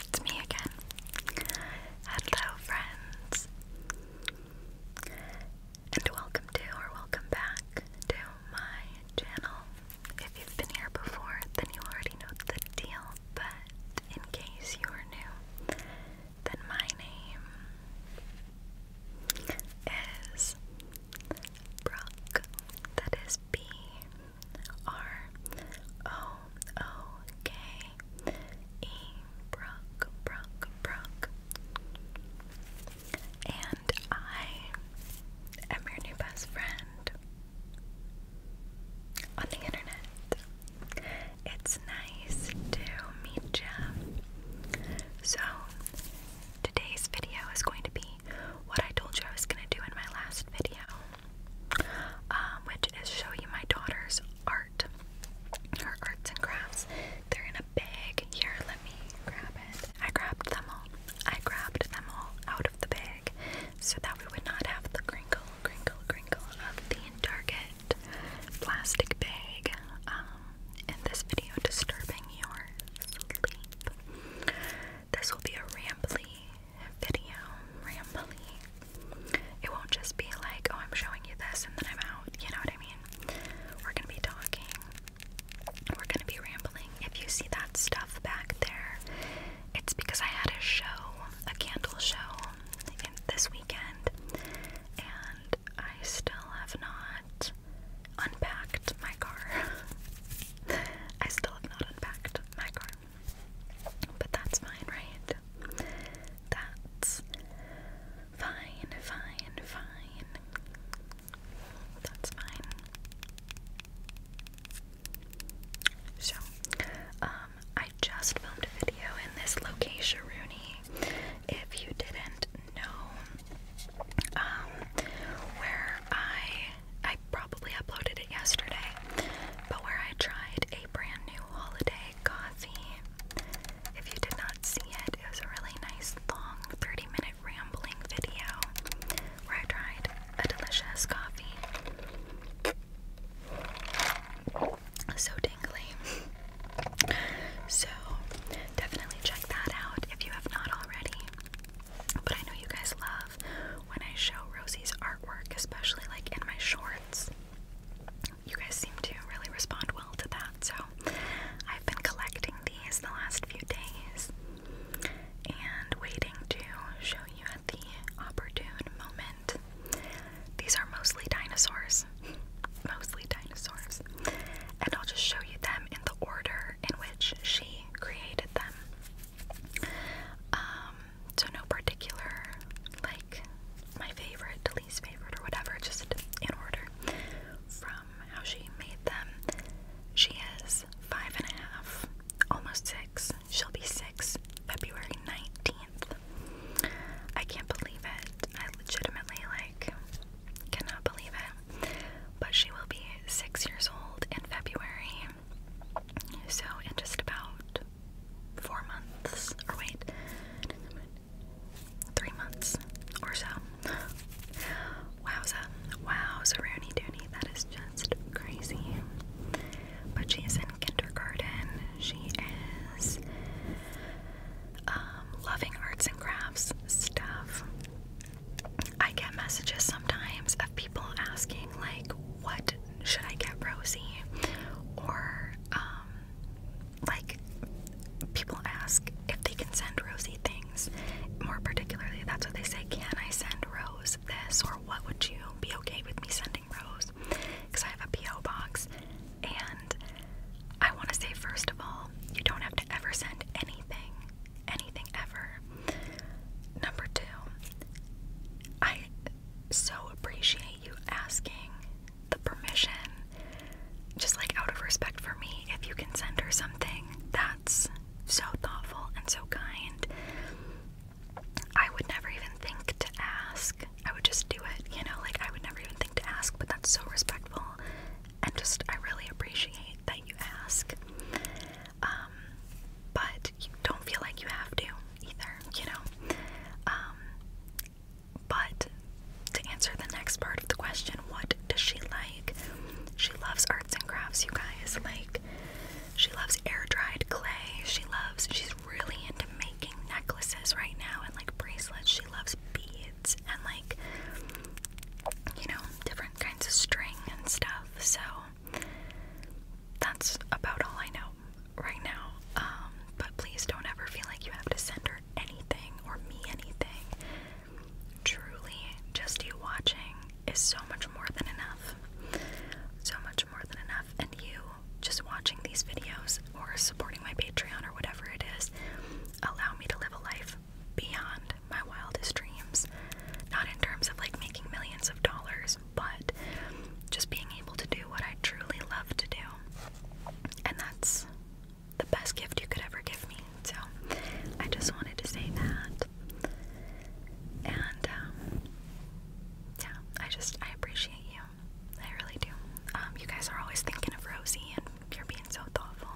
It's me again. Hello, friends, and welcome to or welcome back to my channel. If you've been here before, then you already know the deal, but in case you are new, then my name is Brock. That is B R O O K E. Brock, Brock, Brock. And I am your new best friend on the internet. It's nice to meet you. So, Today's video is going to be what I told you I was going to do in my last video, um, which is show you my daughter's art, her arts and crafts. They're in a bag. Here, let me grab it. I grabbed them all. I grabbed them all out of the bag so that we would not have the crinkle, crinkle, crinkle of the Target plastic bag. Um, in this video disturbing your sleep. This will be a rambly video. Rambly. It won't just be like, oh, I'm showing you this and then I'm out. You know what I mean? We're gonna be talking. We're gonna be rambling. If you see that stuff back there, it's because I had a show, a candle show, this weekend, and I still have not unpacked my car. I still have not unpacked my car. But that's fine, right? That's fine, fine, fine. That's fine. So, um, I just filmed a video in this location, Rooney. If you didn't know, um, where I I probably uploaded it yesterday, but where I tried a brand new holiday coffee. If you did not see it, it was a really nice long 30-minute rambling video where I tried a delicious coffee. So tingly. So definitely check that out if you have not already. But I know you guys love when I show Rosie's artwork, especially like in my shorts. You guys seem to really respond well to that, so I've been collecting these the last few days and waiting to show you at the opportune moment. These are mostly dinosaurs. mostly dinosaurs. And I'll just show you them in the order in which she created them. Um, so no particular like my favorite least favorite or whatever, just in order from how she made them. She is five and a half, almost six. She'll be six February 19th. I can't believe it. I legitimately like cannot believe it but she will be six years old in February. So, in just about four months, or wait, three months or so. Wowza, wowza, Rooney Dooney, that is just crazy. But she is in kindergarten. She is um, loving arts and crafts stuff. I get messages sometimes of people asking, like, what should I get Rosie? Or, um, like, people ask if they can send Rosie things. More particularly, that's what they say can I send Rose this? Or what would you be okay with me sending Rose? Because I have a P.O. box. And I want to say, first of all, you don't have to ever send anything, anything ever. Number two, I so appreciate you asking the permission, just like out of respect for me, if you can send her something. That's so thoughtful and so kind. I would never even think to ask. I would just do it, you know, like I would never even think to ask, but that's so respectful. And just, I really appreciate that you ask. Um, but you don't feel like you have to either, you know? Um, but to answer the next part of the question, what does she like? She loves arts and crafts, you guys. Like, she loves air dried clay. She loves, she's really into making necklaces right now and like bracelets. She loves beads and like, you know, different kinds of string and stuff. So, that's about all I know right now. Um, but please don't ever feel like you have to send her anything or me anything. Truly, just you watching is so much more than enough. So much more than enough. And you just watching these videos or supporting my Patreon or whatever it is, allow me to live a life beyond my wildest dreams. Not in terms of like making millions of dollars, but just being able to do what I truly love to do. And that's the best gift you could ever give me. So I just wanted to say that. And um, yeah, I just, I appreciate you. I really do. Um, you guys are always thinking of Rosie and you're being so thoughtful.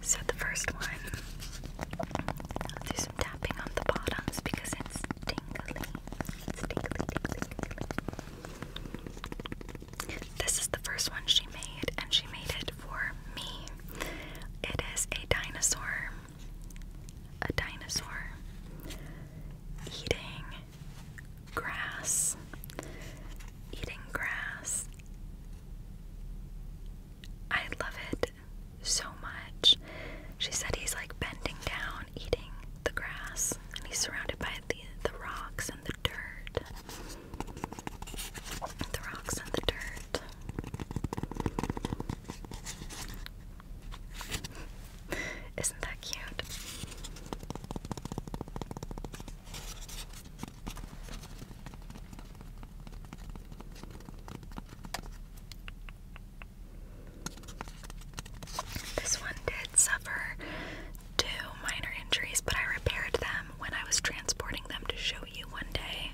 So the first one, do some tapping on the bottoms because it's tingly. It's tingly, tingly, This is the first one she made, and she made it for me. It is a dinosaur, a dinosaur eating grass, eating grass. I love it so much. She said he's like bending down, eating the grass, and he's surrounded by the the rocks and the dirt. The rocks and the dirt. Isn't that cute? This one did suffer two minor injuries, but I repaired them when I was transporting them to show you one day.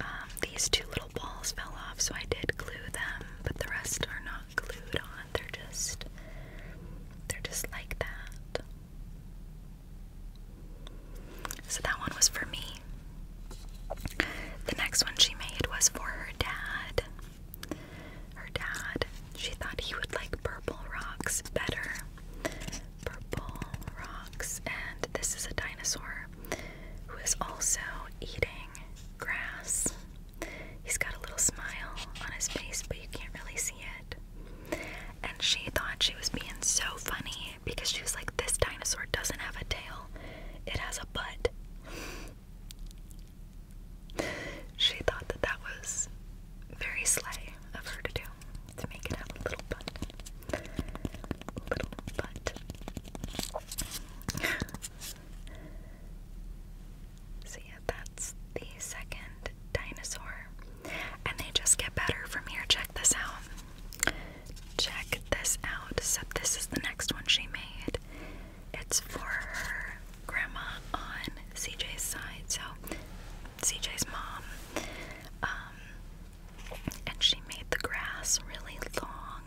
Um, these two little balls fell off, so I did glue them, but the rest are not glued on. They're just, they're just like that. So that one was for me. The next one she made was for her dad. Her dad, she thought he would like purple rocks better. Purple rocks, and this is a dinosaur who is also eating grass. He's got a little smile on his face, but you can't really see it. And she thought she was being so funny because she was like, This dinosaur doesn't have a tail, it has a butt. she thought that that was very sleigh of her to do, to make it have a little butt. Little butt. so, yeah, that's the second dinosaur. And they just get better from here. Check this out. Check this out, except this is the next one she made. It's for her grandma on CJ's side, so CJ's mom. Um, and she made the grass really long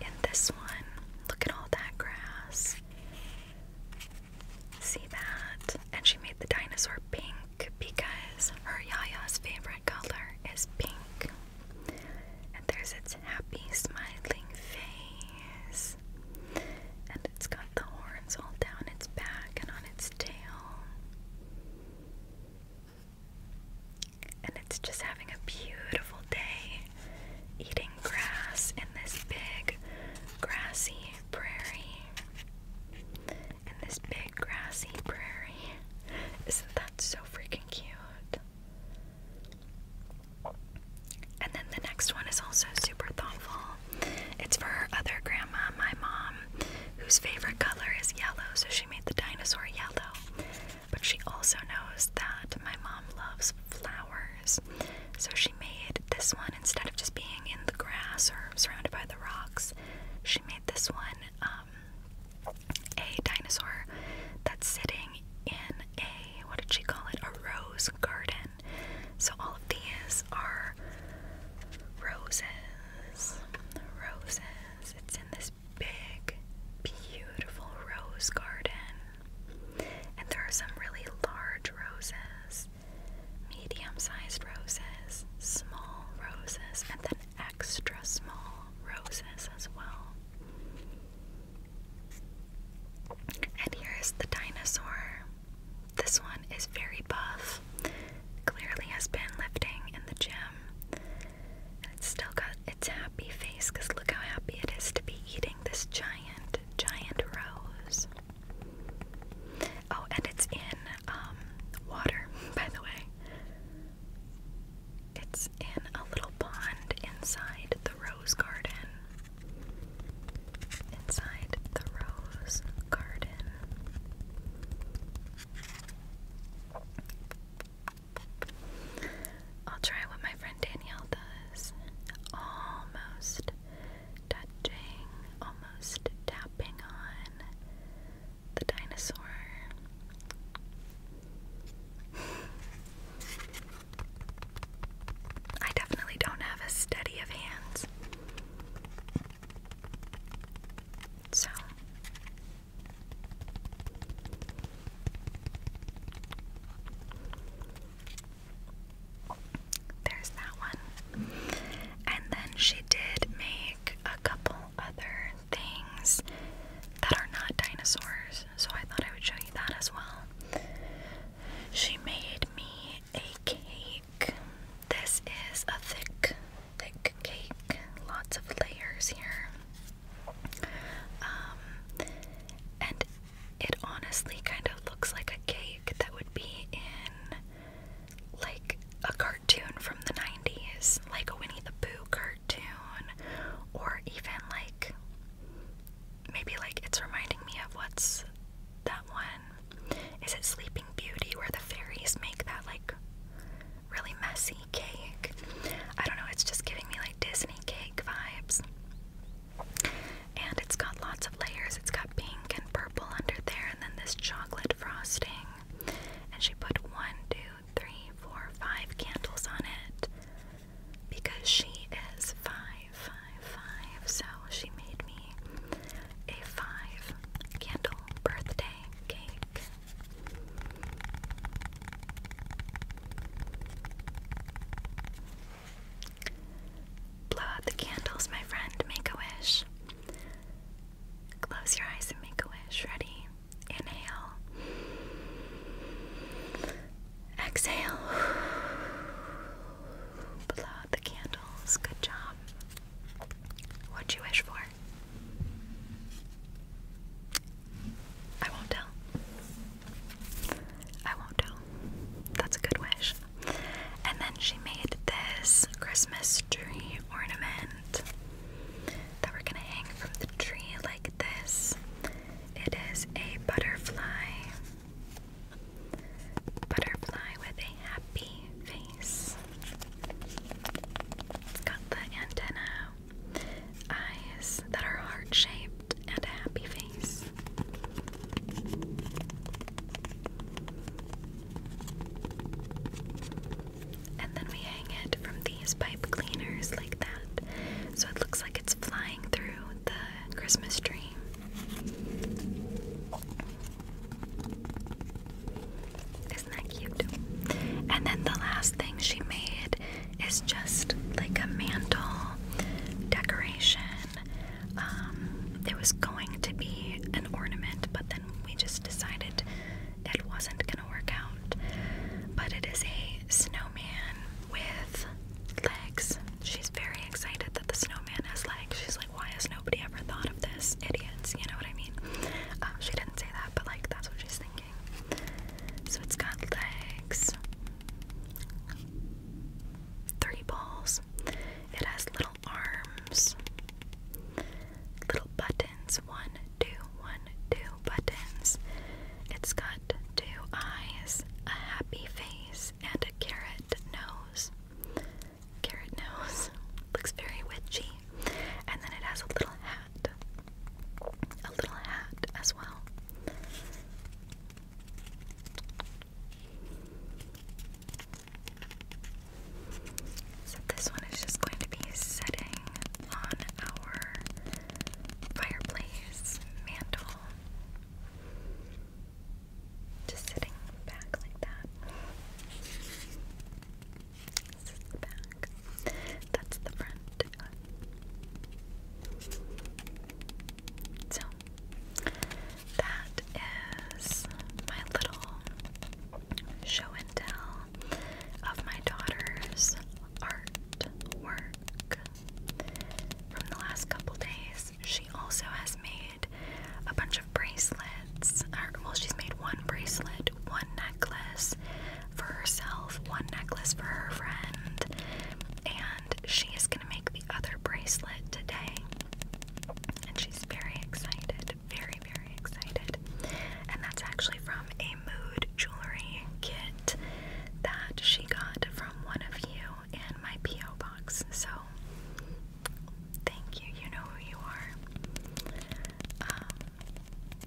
in this one. Look at all that grass. See that? And she made the dinosaur pink because her Yaya's favorite color is pink. And there's its happy, smiling face. And it's got the horns all down its back and on its tail. And it's just having a beautiful day eating grass in this big grassy prairie. In this big grassy prairie. Isn't that so freaking cute? And then the next one is also super thoughtful. It's for her other grandma, my mom, whose favorite color is yellow, so she made the dinosaur yellow. But she also knows that my mom loves flowers, so she made this one instead of just being in the grass or surrounded by the rocks. She made this one um, a dinosaur that's sitting in a, what did she call it? A rose garden. So all of these are roses. Roses. It's in this big, beautiful rose garden. And there are some really large roses, medium sized roses, small roses, and then extra small roses as well. And here is the dinosaur. This one is very buff, clearly has been lifting in the gym. it's still got its happy face because look how happy it is to be eating this giant, giant rose. Oh, and it's in um, water, by the way. It's in a little pond inside the rose garden. Inside the rose garden. I'll try what my friend Danielle does. Almost touching, almost tapping on the dinosaur. I definitely don't have a steady of hands. So there's that one. And then she did make a couple other things that are not dinosaurs, so I thought I would show you that as well. She made me a cake. This is a thick, thick cake, lots of layers here. Um, and it honestly kind of looks like a cake that would be in like a cartoon from the 90s, like a Winnie the Pooh cartoon or even like maybe like it's reminding me of what's that one? Is it Sleeping Beauty where the fairies make that like really messy cake? I don't know, it's just giving me like Disney cake vibes. And it's got lots of layers. It's got pink and purple under there, and then this chocolate frosting. And she put one, two, three, four, five candles on it because she is five, five, five. So she made me a five candle birthday cake. Blow out the candles, my friend. Make a wish. Close your eyes and make a wish. Ready? Inhale. Exhale. Blow out the candles. Good job. What'd you wish for? I won't tell. I won't tell. That's a good wish. And then she made this Christmas tree ornament that we're gonna hang from the tree like this. It is a butterfly. Butterfly with a happy face. It's got the antenna, eyes that are heart shaped, and a happy face. And then we hang it from these pipe cleaners like that. So it looks like it's flying through the Christmas tree. Isn't that cute? And then the last thing she made is just like a mantle decoration. Um, it was going to be an ornament, but then we just decided it wasn't going to work out but it is a snowman with legs. She's very excited that the snowman has legs. She's like, why has nobody ever thought of this? Idiots, you know what I mean? Um, she didn't say that, but like that's what she's thinking. So it's got legs, three balls. It has little arms, little buttons. One, two, one, two buttons. It's got two eyes, a happy face, and a carrot nose. Carrot nose. Looks very witchy. And then it has a little hat. A little hat as well. So this one is just going to be setting on our fireplace mantle. Just sitting back like that. This the back. That's the front. So, that is my little show and tell of my daughter's artwork from the last couple days. She also has made a bunch of bracelets. well, she's made one bracelet, one necklace for herself, one necklace for her friend, and she is going to make the other bracelet today. And she's very excited, very, very excited. And that's actually from a mood jewelry kit that she got from one of you in my P.O. box. So, thank you. You know who you are. Um,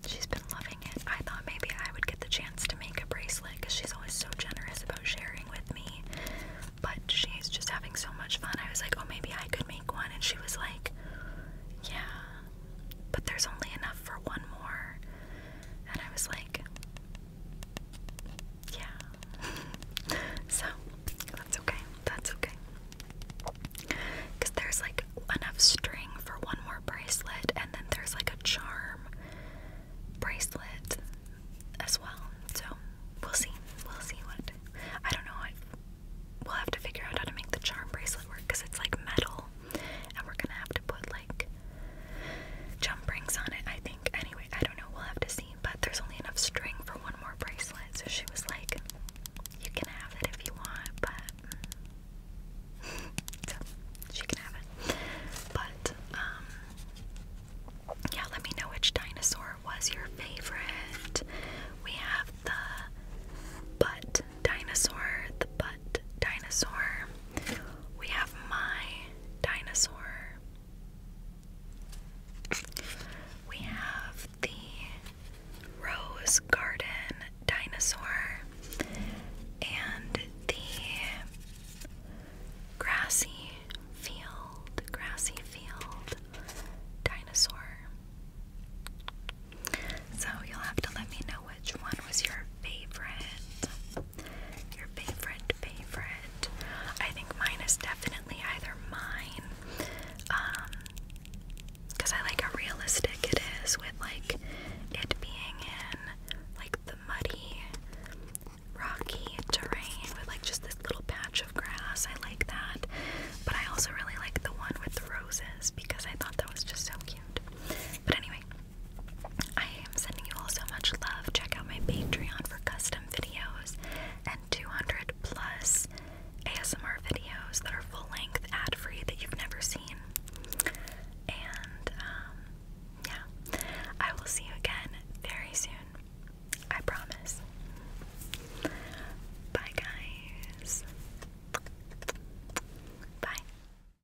she's been loving it. I thought maybe I would get the chance to make a bracelet because she's always so generous about sharing with me. But she's just having so much fun. I was like, oh, maybe I could make one. And she was like, yeah, but there's only enough for one more. And I was like, yeah. so that's okay. That's okay. Because there's like enough string for one more bracelet, and then there's like a charm bracelet as well. So we'll see. We'll see what. I don't know. I, we'll have to figure out how to make the charm bracelet work because it's like metal and we're gonna have to put like jump rings on it, I think. Anyway, I don't know, we'll have to see. But there's only enough string for one more bracelet, so she was like, You can have it if you want, but she can have it. But um yeah, let me know which dinosaur was your favorite. We have the butt dinosaur, the butt dinosaur. We have my dinosaur. We have the Rose Garden dinosaur and the grassy field, grassy field dinosaur. So you'll have to let me know which one was your favorite. Your favorite, favorite. I think mine is definitely either mine, um, because I like how realistic it is with like it being in like the muddy, rocky terrain with like just this little patch of grass. I like that, but I also really like the one with the roses because I thought that was just so cute. But anyway, I am sending you all so much love. Check out my Patreon for custom videos and 200 plus ASMR videos that are full length, ad free, that you've never seen. And um, yeah, I will see you again very soon. I promise. Bye, guys. Bye.